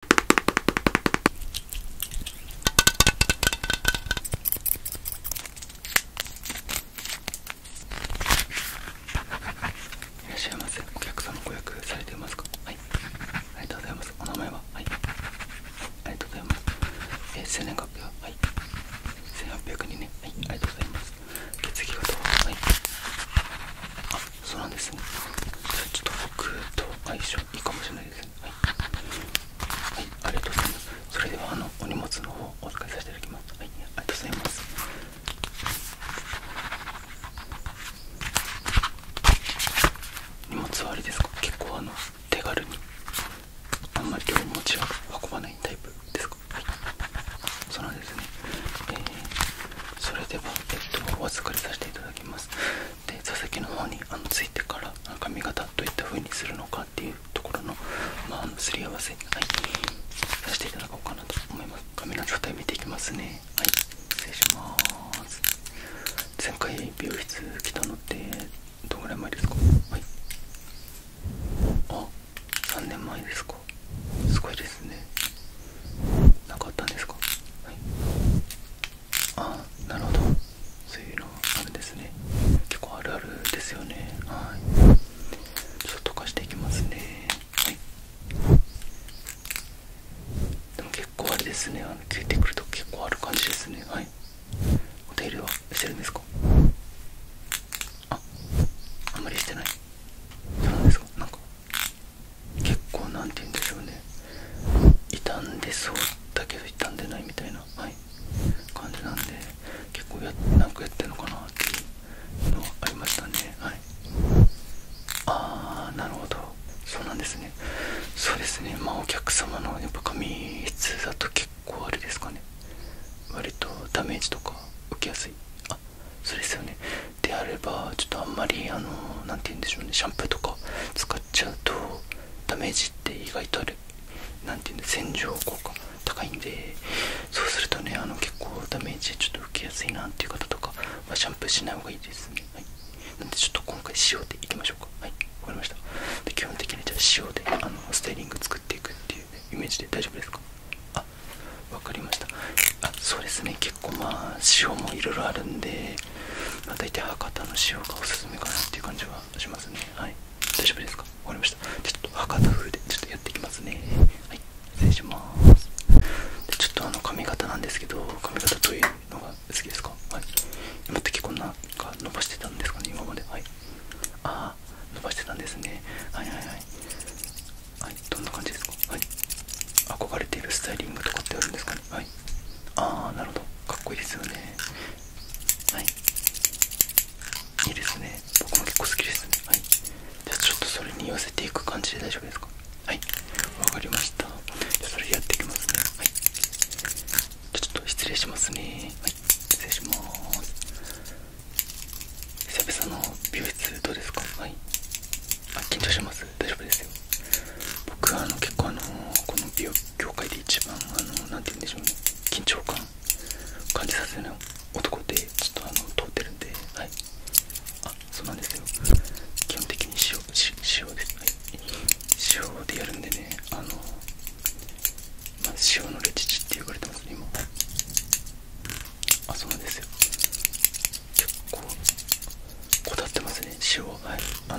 いらっしゃいませお客様ご予約されていますかはいありがとうございますお名前ははいありがとうございますええ、生年月日ははい千8 0 0人はいありがとうございます血液型ははいあそうなんですねちょっと僕と相性いいかもしれないですねはい、はい、ありがとうございますそれではあのお荷物の方お預かりさせていただきますはいありがとうございます荷物はあれですか結構あの手軽にあんまりお持ちは運ばないタイプですかはいそうなんですねえー、それではえっとお預かりさせていただきますで座席の方にあのついてから髪型どういった風にするのかっていうところの,、ますり合わせ、させていただこうかなと思います髪の状態見ていきますねはい失礼します前回美容室来たのってどのぐらい前ですかはいあ3年前ですかすごいですねなかったんですかはいあなるほどそういうのあるんですね結構あるあるですよねはいちょっと溶かしていきますねはいでも結構あれですねあの消えてくると結構ある感じですねはいお手入れはしてるんですかああんまりしてないそうなんですかなんか結構何て言うんでしょうね傷んでそうだけど傷んでないみたいな、はい、感じなんで結構やなんかやってるのかなっていうのはありましたねはいああなるほどそうなんですねそうですねまあお客様のやっぱ髪質だと結構あれですかね割とダメージとか受けやすいあそうですよねであればちょっとあんまりあの何て言うんでしょうねシャンプーとか使っちゃうとダメージって意外とある何て言うんだ洗浄効果高いんでそうするとねあの結構ダメージちょっと受けやすいなっていう方とかはシャンプーしない方がいいですね、なんでちょっと今回塩でいきましょうかはいわかりましたで基本的にじゃあ塩であのスタイリング作っていくっていう、イメージで大丈夫ですかあわかりましたあそうですね結構まあ塩もいろいろあるんで、まあ、大体博多の塩がおすすめかなっていう感じはしますねはい大丈夫ですか分かりましたちょっと博多風でちょっとやっていきますねはい失礼しますでちょっとあの髪型なんですけど髪型どういうのが好きですかはい今っ結構なんか伸ばしてたんですかね今まではいああ伸ばしてたんですねはいはいはいはいどんな感じですかはい憧れているスタイリングとかってあるんですかねはいああなるほどかっこいいですよねはいいいですね僕も結構好きですねはいじゃあちょっとそれに寄せていく感じで大丈夫ですかはいわかりましたじゃあそれやっていきますねはいじゃあちょっと失礼しますねはい失礼します久々の美容室どうですかはいあ緊張します大丈夫ですよ僕はあの結構あのこの美容業界で一番あのなんて言うんでしょうね緊張感感じさせない男でちょっとあの通ってるんではいあそうなんですよ基本的に塩塩です塩でやるんでねあのまあ、塩のレチチって呼ばれてますね今あそうなんですよ結構こだわってますね塩はいあの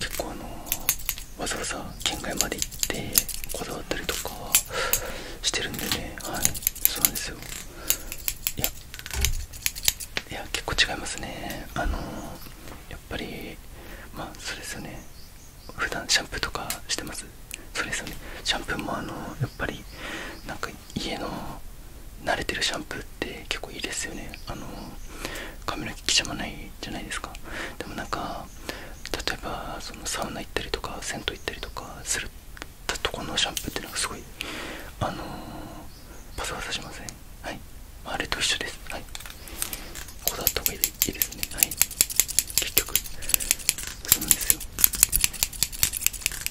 結構あのわざわざ県外まで行ってこだわったりとかしてるんでねはいそうなんですよいやいや結構違いますねあのやっぱりまあそれですよね普段シャンプーとかしてますそれですよねシャンプーもあのやっぱり家の慣れてるシャンプーって結構いいですよねあの髪の毛きちゃまないじゃないですかでもなんか例えばそのサウナ行ったりとか銭湯行ったりとかするとこのシャンプーってのがすごいあのパサパサしません、はいあれと一緒ですはいこだわった方がいいですねはい結局そうなんですよ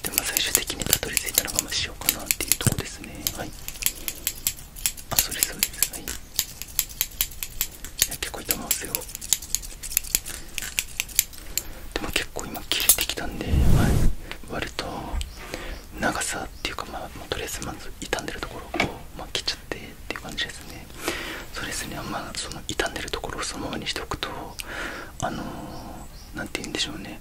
でも最終的にたどり着いたのがしようかなっていうとこですねはいあそれそうですはい結構痛まますよでも結構今切れてきたんで、割と長さっていうかまあとりあえずまず傷んでるところをこう、まあ、切っちゃってっていう感じですねそうですねまあその傷んでるところをそのままにしておくとあの何て言うんでしょうね、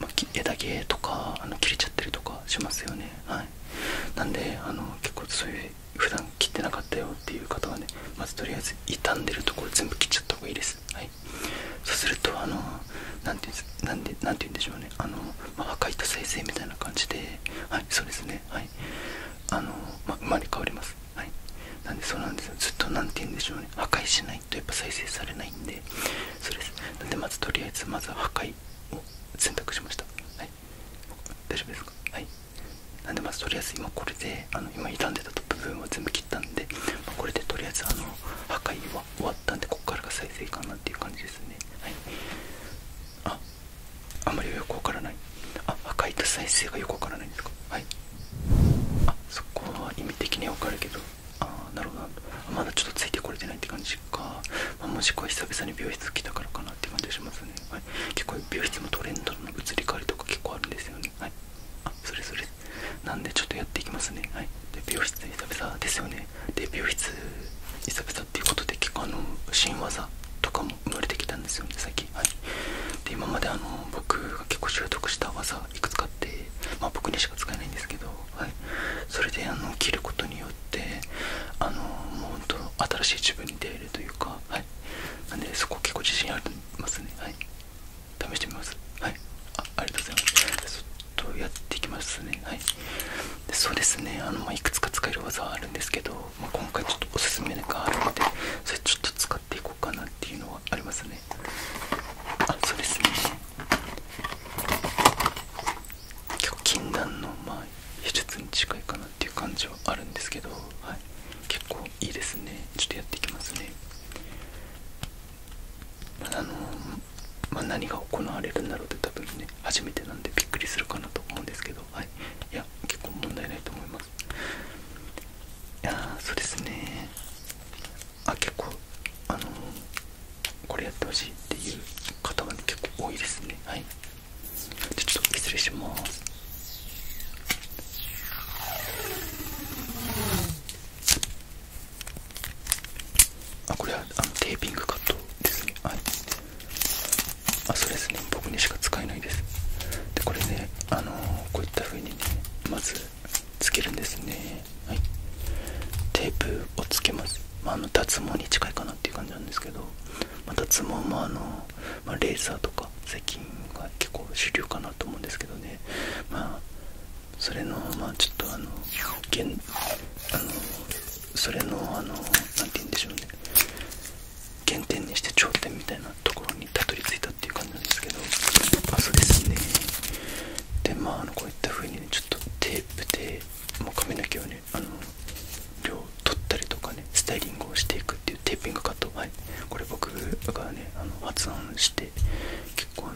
まあ、枝毛とかあの切れちゃってるとかしますよねはいなんであの結構そういう普段切ってなかったよっていう方はねまずとりあえず傷んでるところ全部切っちゃった方がいいですはいそうするとあの何て言うんでしょうねあの、まあ、破壊と再生みたいな感じではいそうですねはいあの、まあ、生まれ変わりますなんでそうなんですよずっと何て言うんでしょうね破壊しないとやっぱ再生されないんでそうですなんでまずとりあえずまずは破壊を選択しましたはい大丈夫ですかはいなんでまずとりあえず今これであの今傷んでた部分は全部切ったんで、まこれでとりあえずあの破壊は終わったんでこっからが再生かなっていう感じですねはいああんまりよくわからないあ破壊と再生がよくわからないんですかはいそこは意味的には分かるけどああなるほどまだちょっとついてこれてないって感じか、まもしくは久々に美容室来たからかなって感じがしますね、はい、結構美容室もトレンドの移り変わりとか結構あるんですよねはいあそれそれなんでちょっとやっていきますねはいで美容室久々ですよねで美容室久々っていうことで結構あの新技とかも生まれてきたんですよね最近はいで今まであの僕が結構習得した技いくつか使まあ、僕にしか使えないんですけど、はい、それであの切ることによってあのもう本当新しい自分に出会えるというか、はい、なんでそこ結構自信ありますね、はい、試してみます、はい、ありがとうございますちょっとやっていきますね、はい、でそうですねあの、まいくつか使える技はあるんですけど、まあ、今回ちょっとおすすめがあるのでそれちょっと使っていこうかなっていうのはありますねねあそうですね今日禁断のまあ手術に近いかなっていう感じはあるんですけど、はい、結構いいですねちょっとやっていきますねあのま何が行われるんだろうって多分ね初めてなんでびっくりするかなと思うんですけどはいいや結構問題ないと思いますいやそうですねあ結構あのこれやってほしいっていう方は、結構多いですねはいちょっと失礼しますあこれはあのテーピングカットですねはいあそうですね僕にしか使えないですでこれねあのこういったふうにねまずつけるんですね、はい、テープをつけます、まあ、の脱毛に近いかなっていう感じなんですけど、まあ、脱毛もあの、まレーザーとか最近が結構主流かなと思うんですけどね、まあ、それのまあちょっとあの現あのそれのあの何て言うんでしょうね原点にして頂点みたいなところにたどり着いたっていう感じなんですけどまあそうででまああのこういった風にねちょっとテープでもう髪の毛をねあの量取ったりとかねスタイリングをしていくっていうテーピングカットはいこれ僕がねあの発音して結構あ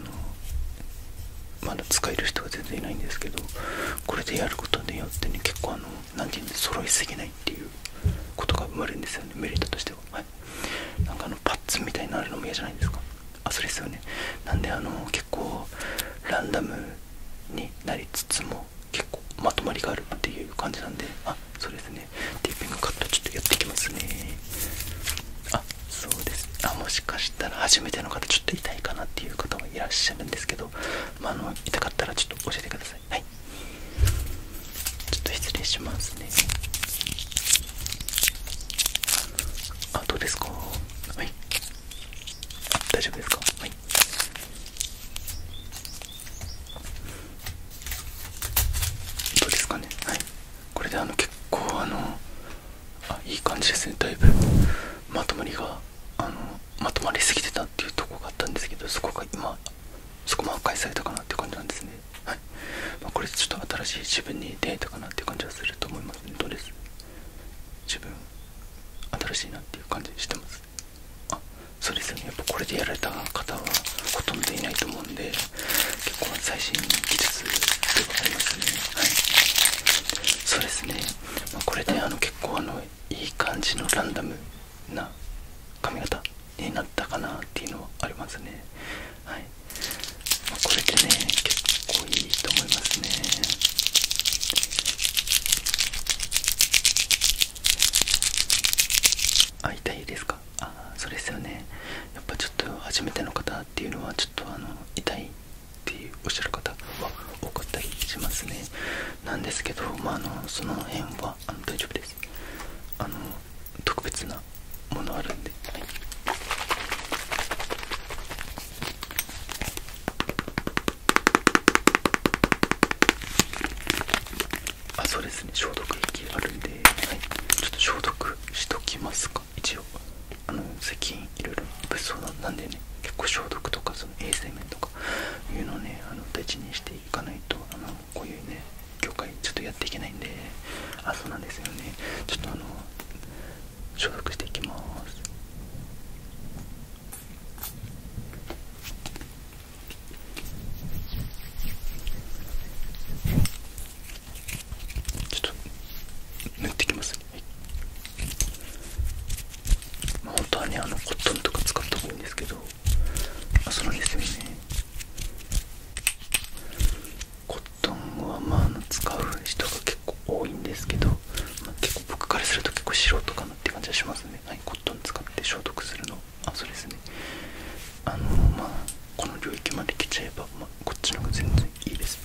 のまだ使える人が全然いないんですけどこれでやることによってね結構あの何て言うんで揃いすぎないっていうことが生まれるんですよねメリットとしては。なんかあのパッツンみたいになるのも嫌じゃないですかあそれですよねなんであの結構ランダムになりつつも結構まとまりがあるっていう感じなんであそうですねテーピングカットちょっとやっていきますねあそうですあもしかしたら初めての方ちょっと痛いかなっていう方もいらっしゃるんですけど、まあの痛かったらちょっと教えてくださいはいちょっと失礼しますねあどうですかはい大丈夫ですかはいどうですかねはいこれであの結構あのあいい感じですねだいぶまとまりがあのまとまりすぎてたっていうとこがあったんですけどそこが今そこも破壊されたかなっていう感じなんですねはいまこれちょっと新しい自分に出会えたかなっていう感じはすると思いますねどうです自分新しいなっていう感じしてますあそうですねやっぱこれでやられた方はほとんどいないと思うんで結構最新技術ではありますねはいそうですね、まこれであの結構あのいい感じのランダムな髪型になったかなっていうのはありますねはい、まこれでね結構いいと思いますねあ痛いですかあそうですよねやっぱちょっと初めての方っていうのはちょっとあの痛いっていうおっしゃる方は多かったりしますねなんですけどまああのその辺はあの大丈夫ですあの特別なものあるんで、はい、あそうですね消毒液あるんで、はい、ちょっと消毒しときますか一応あの最近いろいろ物騒なんでね結構消毒とかその衛生面とかいうのをねあの大事にしていかないとあのこういうね業界ちょっとやっていけないんであそうなんですよねちょっとあの消毒していきますちょっと塗ってきます、はいまあ、本当はねあのコットンとか使った方がいいんですけどあそうなんですよねコットンはまあ使う人が結構多いんですけど、結構僕からすると結構素人かなって感じはしますね、はい、コットン使って消毒するのあそうですねあのまあこの領域まで来ちゃえば、まこっちの方が全然いいです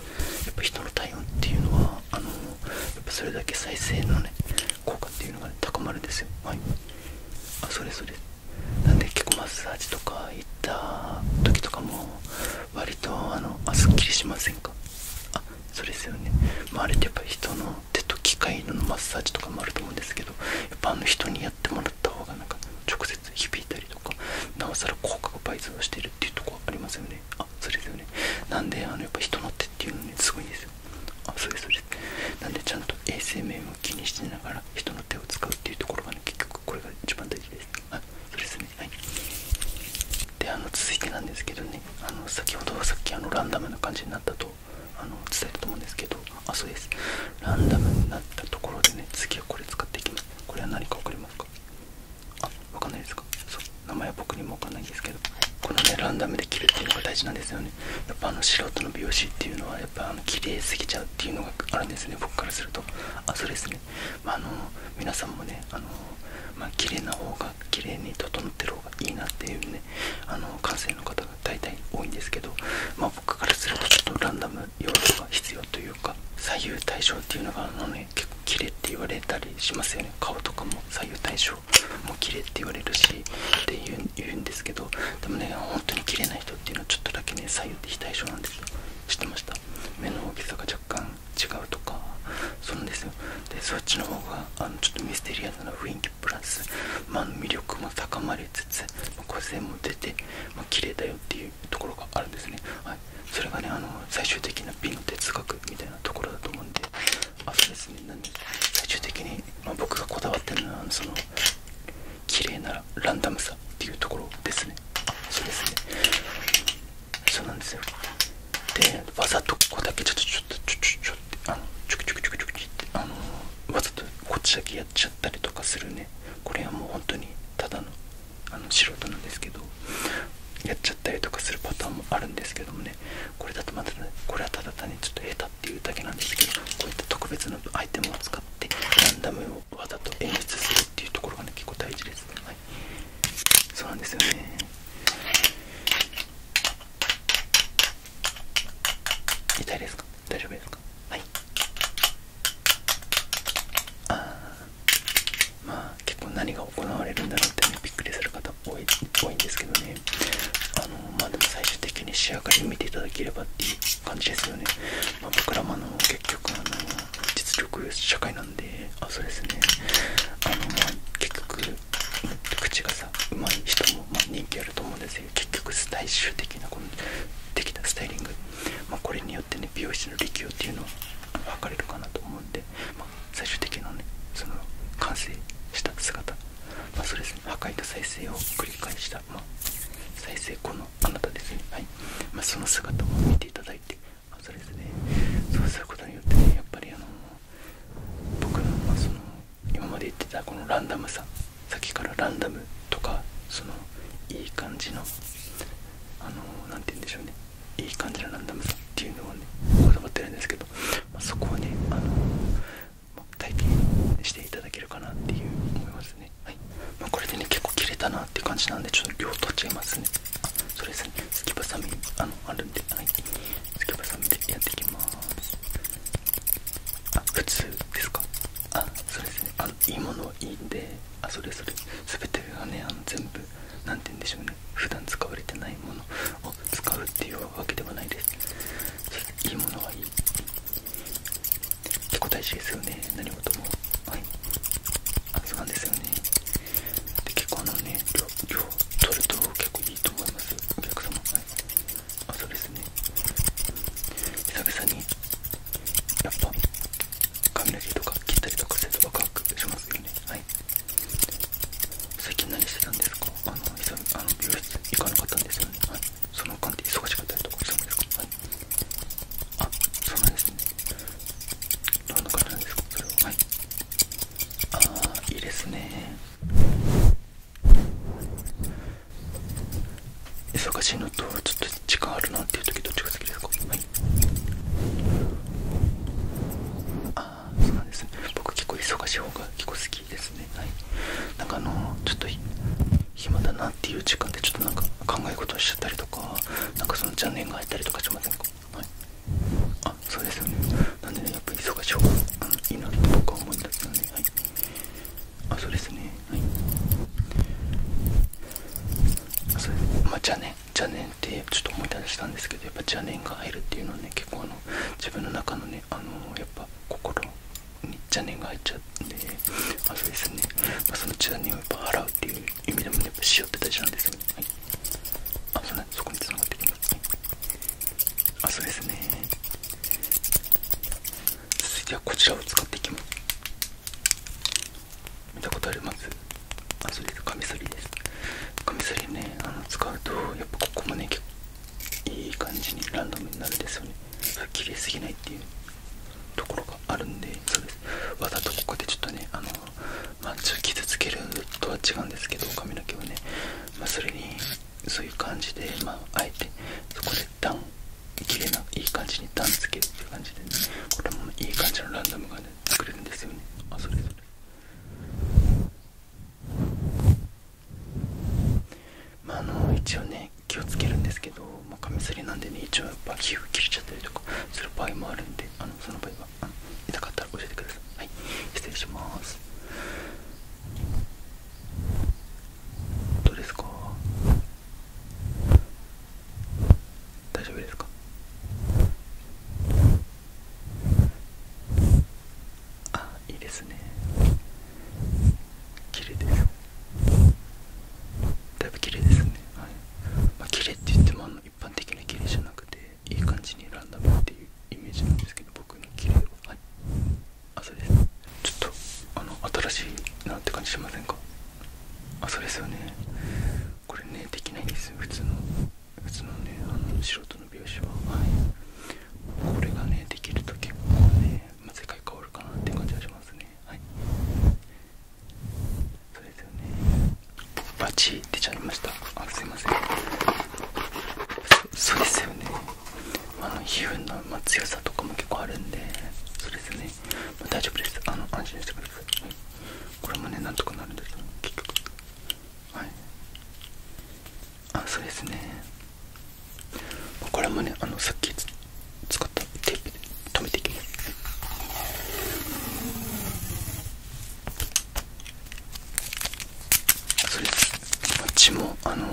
やっぱ人の体温っていうのはあのやっぱそれだけ再生のね効果っていうのが、ね、高まるんですよはいあそれですそうなんで結構マッサージとか行った時とかも割とあのあすっきりしませんかあそうですよね、周りあってやっぱ人の手と機械のマッサージとかもあると思うんですけどやっぱあの人にやってもらった方がなんか直接響いたりとかなおさら効果が倍増してるっていうとこありますよねあそれですよねなんであのやっぱ人の手っていうのにすごいですあそうですそうですなんでちゃんと衛生面を気にしながら人の手を使うっていうところがね結局これが一番大事ですあ、いそうですねはいであの続いてなんですけどねあの先ほどさっきあのランダムな感じになったとあの伝えたと思うんですけどあそうですランダムになったところでね次はこれ使っていきますこれは何か分かりますかあ分かんないですかそう名前は僕にも分かんないんですけどこのねランダムで切るっていうのが大事なんですよねやっぱあの素人の美容師っていうのはや綺麗すぎちゃうっていうのがあるんですね僕からするとあそうですね、まあ、の皆さんもねあのま綺麗な方が綺麗に整ってる方がいいなっていうねあの感性の方が大体多いんですけど、まあ、僕からするとちょっとランダム要素が必要というか左右対称っていうのがあのね結構綺麗って言われたりしますよね顔とかも左右対称も綺麗って言われるしっていうんですけどでもね本当に綺麗な人っていうのはちょっとだけね左右っ非対称なんですよ知ってました目の大きさが若干違うとかそうなんですよでそっちの方があのちょっとミステリアスな雰囲気プラス、まあ、魅力も高まりつつ、ま個性も出て、まあ、綺麗だよっていうところがあるんですね、はい、それがねあの最終的な美の哲学みたいなところだと思うんであそです最終的に、ま僕がこだわってるのはその綺麗ならランダムさっていうところですねそうですねそうなんですよでわざとここだけちょっとちょっとちょちちょっあのちょくちょくちょくちょくってあのわざとこっちだけやっちゃったりとかするねこれはもう本当にただのあの素人なんですけどやっちゃったりとかするパターンもあるんですけどもねこれだとまだねこれはただ単にちょっと下手っていうだけなんですけどこういった特別なアイテムを使ってランダムをわざと演出するっていうところがね結構大事です、はい、そうなんですよね痛いですか大丈夫ですかはいあーまあ結構何が行われるんだろうってびっくりする方多い多いんですけどねあのまあでも最終的に仕上がりを見ていただければっていう感じですよね、ま僕らもあの結局あの実力社会なんであそうですねあのまあ結局口がさうまい人もま人気あると思うんですけど結局最終的なこのできたスタイリング、まあ、これによってね美容室の力量っていうのは分かれるかなと思うんで、ま最終的なねその完成した姿まそうですね破壊と再生を繰り返した、ま再生後のあなたですね、はいまその姿を見ていただいて、あ、そうですねそうすることによってねやっぱりあの僕の,、まその今まで言ってたこのランダムささっきからランダムとかそのいい感じのあのなて言うんでしょうねいい感じのランダムさっていうのをねこってるんですけど、まあ、そこをねあの体験していただけるかなっていう思いますねはい、まこれでね結構切れたなって感じなんでちょっと量取っちゃいますねあそれですねすきばさみあのあるんではいすきばさみでやっていきますあ普通ですかあそうですねあいいものはいいんであそれそれ全てがねあの全部何て言うんでしょうね普段使われてないものを使うっていうわけではないですいいものはいい結構大事ですよね何事もはいあそうなんですよねで結構あのね量量取ると結構いいと思いますお客様はいあそうですね久々にやっぱ髪の毛とか切ったりとかするとワクワクしますよねはい最近何してたんですかあの、あの美室行かなかったんですよね。はい。その間で忙しかったとかしたんですかはい。あ、そうなんですね。どんな感じなんですかそれは。はい。あー、いいですね。忙しいのと、ちょっと時間あるなっていう時どっちが好きですかはい。あそうです僕結構忙しい方が結構好きですねはいなんかあのちょっと暇だなっていう時間でちょっとなんか考え事をしちゃったりとかなんかその邪念が入ったりとかしませんかはいあそうですよねなんでねやっぱり忙しい方がいいなと僕は思い出すのではいあそうですねはいあそうですまあ邪念邪念ってちょっと思い出したんですけどやっぱ邪念が入るっていうのはね結構あの自分の中のねあのやっぱ心に邪念が入っちゃうんであそうですね、まその邪念をやっぱ払うっていう意味でもねやっぱ塩って大事なんですよねはいあそうなんそこに繋がってきます、はい、あそうですね続いてはこちらを使っていきます見たことある？まずあそうですカミソリですカミソリねあの使うとやっぱここもね結構いい感じにランダムになるんですよね切れすぎないっていうところがあるんでわざとここでちょっとねあのまあちょ傷つけるとは違うんですけど髪の毛をね、まそれにそういう感じで、まあ、あえてそこで段綺麗ないい感じに段つけるっていう感じでねこれもいい感じのランダムがね作れるんですよねあそれそれまあ、あの一応ね気をつけるんですけど、まあ、カミソリなんでね一応やっぱ皮膚切れちゃったりとかする場合もあるんであのその場合は痛かったら教えてくださいはい失礼しますどうですか大丈夫ですかあいいですね綺麗ですだいぶ綺麗ですねはい、ま綺麗って言ってもあの一般的な綺麗じゃなくていい感じにランダムっていうイメージなんですけど僕の綺麗ははいあそうですちょっとあの新しいなって感じしませんかあそうですよねこれねできないんですよ普通の普通のねあの素人の描写は、これがねできると結構ね、ま世界変わるかなって感じはしますねはいそうですよねバチ出ちゃいましたあすいませんそうですよねあの皮膚の、ま強さとかも結構あるんでそうですね、ま大丈夫ですあの安心してください、はい、これもねなんとかなるんですよ結局はいあそうですねこれもねあのさっき使ったテープで止めていきますそれこっちもあの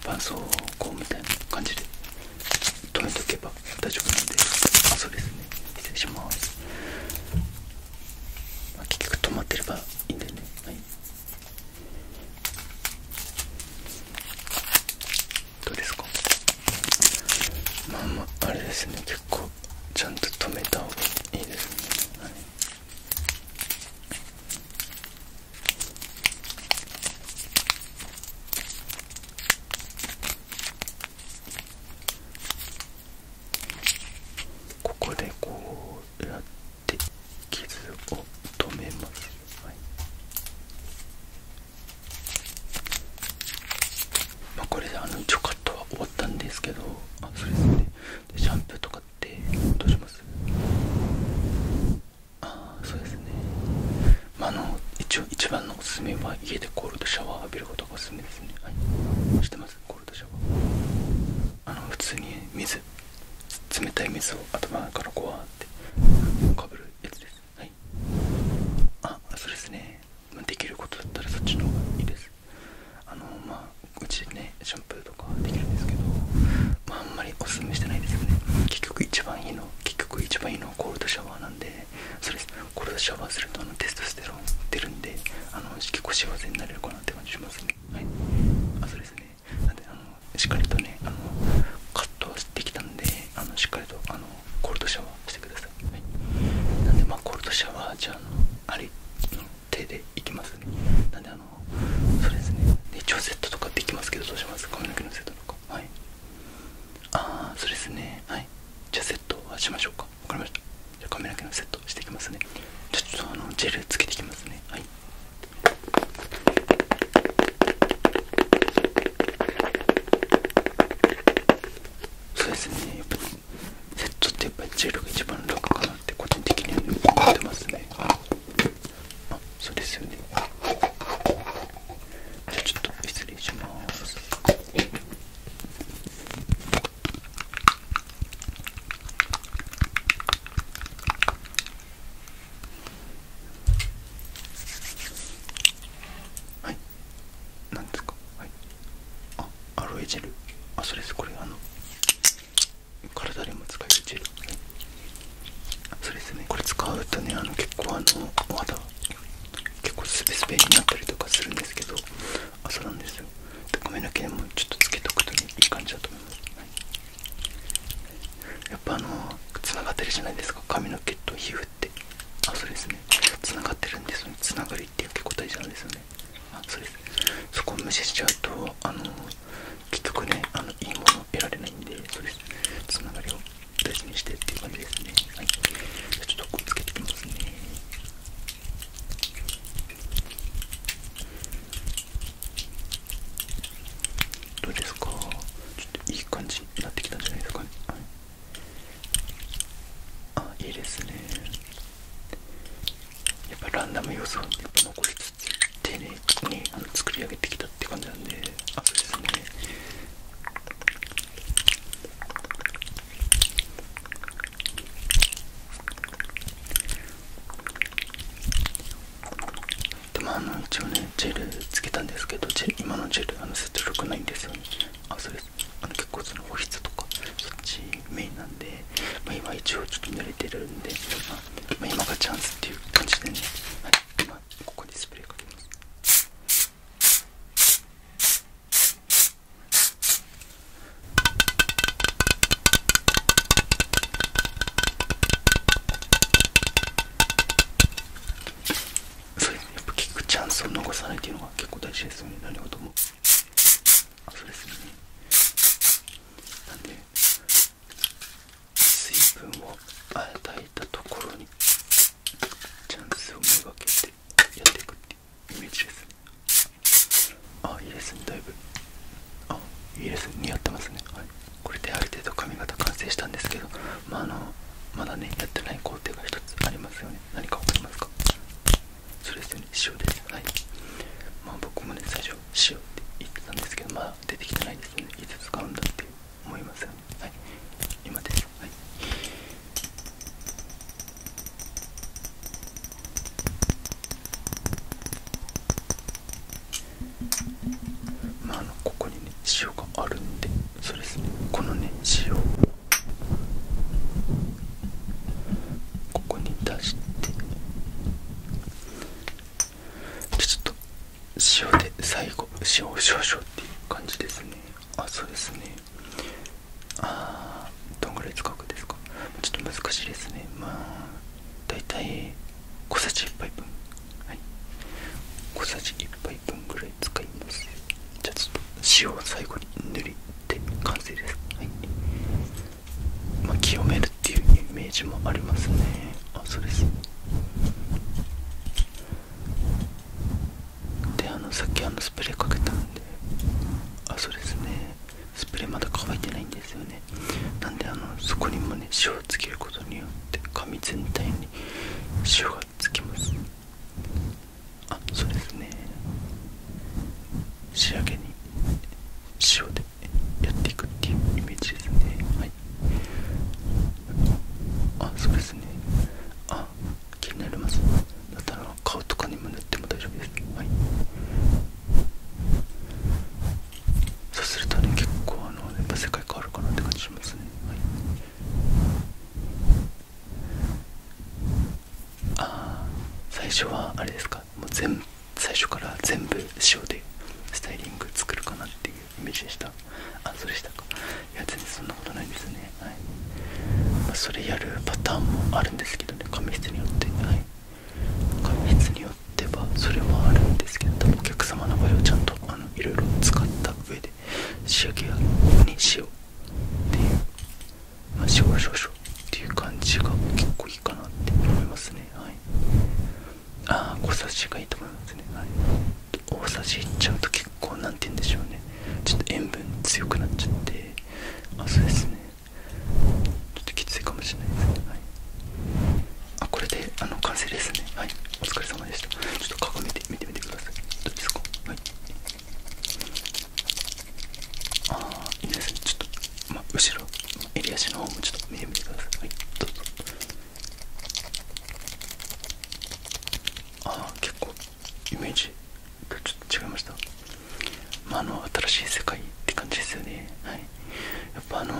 絆創膏みたいな感じで止めとけば大丈夫なんであそうですね失礼します、結局止まってればいいんでねはい、どうですかまあまああれですね結構ちゃんと止めた方がいいですね、はいはい、ここでこうやって傷を止めます、はいこれであの一応カは終わったんですけどあそうですねでシャンプーとかってどうしますああそうですねまああの一応一番のおすすめは家でコールドシャワー浴びることがおすすめですねはいそしてシャワーあの普通に水冷たい水を頭からこわってかぶるやつですはいあそうですねできることだったらそっちの方がいいですあのまあうちねシャンプーとかできるんですけどまあんまりおすすめしてないですよね結局一番いいの結局一番いいのはコールドシャワーなんでそうですコールドシャワーするとあのテストステロン出るんであの結構幸せになれるかなって感じしますねはいあそうですねなんであのしっかりとねあのカットはしてきたんであのしっかりとあのコールドシャワーしてください、なんでまあコールドシャワーじゃああれの手でいきますねなんであのそうですね一応セットとかできますけどどうします髪の毛のセットとかはいああそうですねはいじゃあセットはしましょうか分かりましたじゃあ髪の毛のセットしていきますねちょっとあのジェルつけていきますねはいそうですねやっぱセットってやっぱりジェルが一番楽かなって個人的には思ってますねあそうですよねじゃあちょっと失礼しますはい何ですかはいあアロエジェルあそれですこれあの体でも使えるジェル、はそれですねこれ使うとねあの結構あのお肌結構スベスベになったりとかするんですけど朝なんですよで、髪の毛でもちょっとつけとくとね。いい感じだと思います、やっぱあのつながってるじゃないですか髪の毛と皮膚ってあそうですねつながってるんでそのつながりって結構大事なんですよねあそうですそこを無視しちゃうとあの結くねあのいいものを得られないんでそうですつながりを大事にしてっていう感じですねはいじゃちょっとこれつけていきますねどうですかちょっといい感じになってきたんじゃないですかね、はい、あいいですねやっぱランダム要素を残りつつ丁寧にあの作り上げてきたって感じなんであそうですねでもあの一応ねジェルつけたんですけど今のジェルあの接力ないんですよねあそれあの結構その保湿とかそっちメインなんで、ま今一応ちょっと濡れてるんで、ま今がチャンスっていう感じでね、はい今ここにスプレーかけますそれやっぱ聞くチャンスを逃さないっていうのが結構大事ですよね何事もそうですねなんで水分を与えたところにチャンスを目がけてやっていくっていうイメージですねあいいですねだいぶあいいですね似合ってますねはいこれである程度髪型完成したんですけどまああのまだねやってない工程が1つありますよね何か分かりますかそれすよね塩ですはいまあ僕もね最初塩って言ってたんですけどまだ出てきてないですよねいつ使うんだって思いますよねはい今ですはいまああのここにね塩があるんでそうですねこのね塩を。ここに出してちょっと塩で最後塩を少々っていう感じですねあそうですねあどんぐらい使うんですかちょっと難しいですねまあだいたい小さじ1杯分はい小さじ1杯分ぐらい使いますじゃあちょっと塩を最後に塗りで完成ですはいま清めるっていうイメージもありますねあそうですであのさっきあのスプレーかけたんであそうですねスプレーまだ乾いてないんですよねなんであのそこにもね塩をつけることによって紙全体に塩がつきますあそうですね仕上げに塩でやっていくっていうイメージですねはいあそうですねあ気になりますだったら顔とかにも塗っても大丈夫ですはいそうするとね結構あのやっぱ世界変わるかなって感じしますねはいああ最初はあれですかもう全最初から全部塩でスタイリング作るかなっていうイメージでしたあそれしたかいや全然そんなことないですねそれやるパターンもあるんですけどね髪質によってはい髪質によってはそれはあるんですけどお客様の場合はちゃんとあのいろいろ使った上で仕上げにしようっていうまあ少々っていう感じが結構いいかなって思いますねはいああ小さじがいいと思いますねはい大さじいっちゃうと結構何て言うんでしょうねちょっと塩分強くなっちゃってあそうですねちょっときついかもしれないですね、はい、あこれであの完成ですねはいお疲れ様でしたちょっと鏡で見てみてくださいどうですかはいああいいですねちょっと、ま、後ろ襟足の方もちょっと見てみてくださいはいどうぞああ結構イメージとちょっと違いました、まあ、の新しい世界って感じですよね、はい、やっぱあの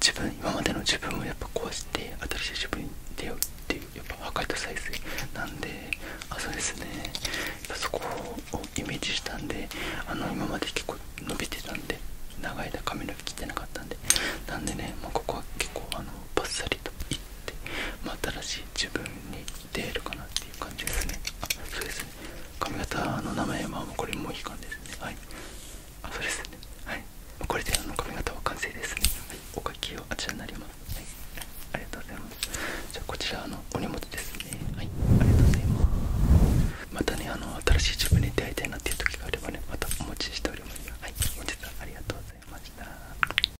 自分今までの自分をやっぱ壊して新しい自分に出会うっていうやっぱ破壊と再生なんであそうですねやっぱそこをイメージしたんであの今まで結構伸びてたんで長い間髪の毛切ってなかったんでなんでね、まここは結構あのバッサリといって、ま新しい自分に出るかなっていう感じですねあそうですね髪型の名前はもうこれもういい感じですねはいあそですねはいこれであの髪型は完成ですね、はい、おかきはあちらになります、はい、ありがとうございますじゃこちらのお荷物ですねはいありがとうございますまたねあの新しい自分に出会いたいなっていう時があればねまたお持ちしておりますはい本日はありがとうございました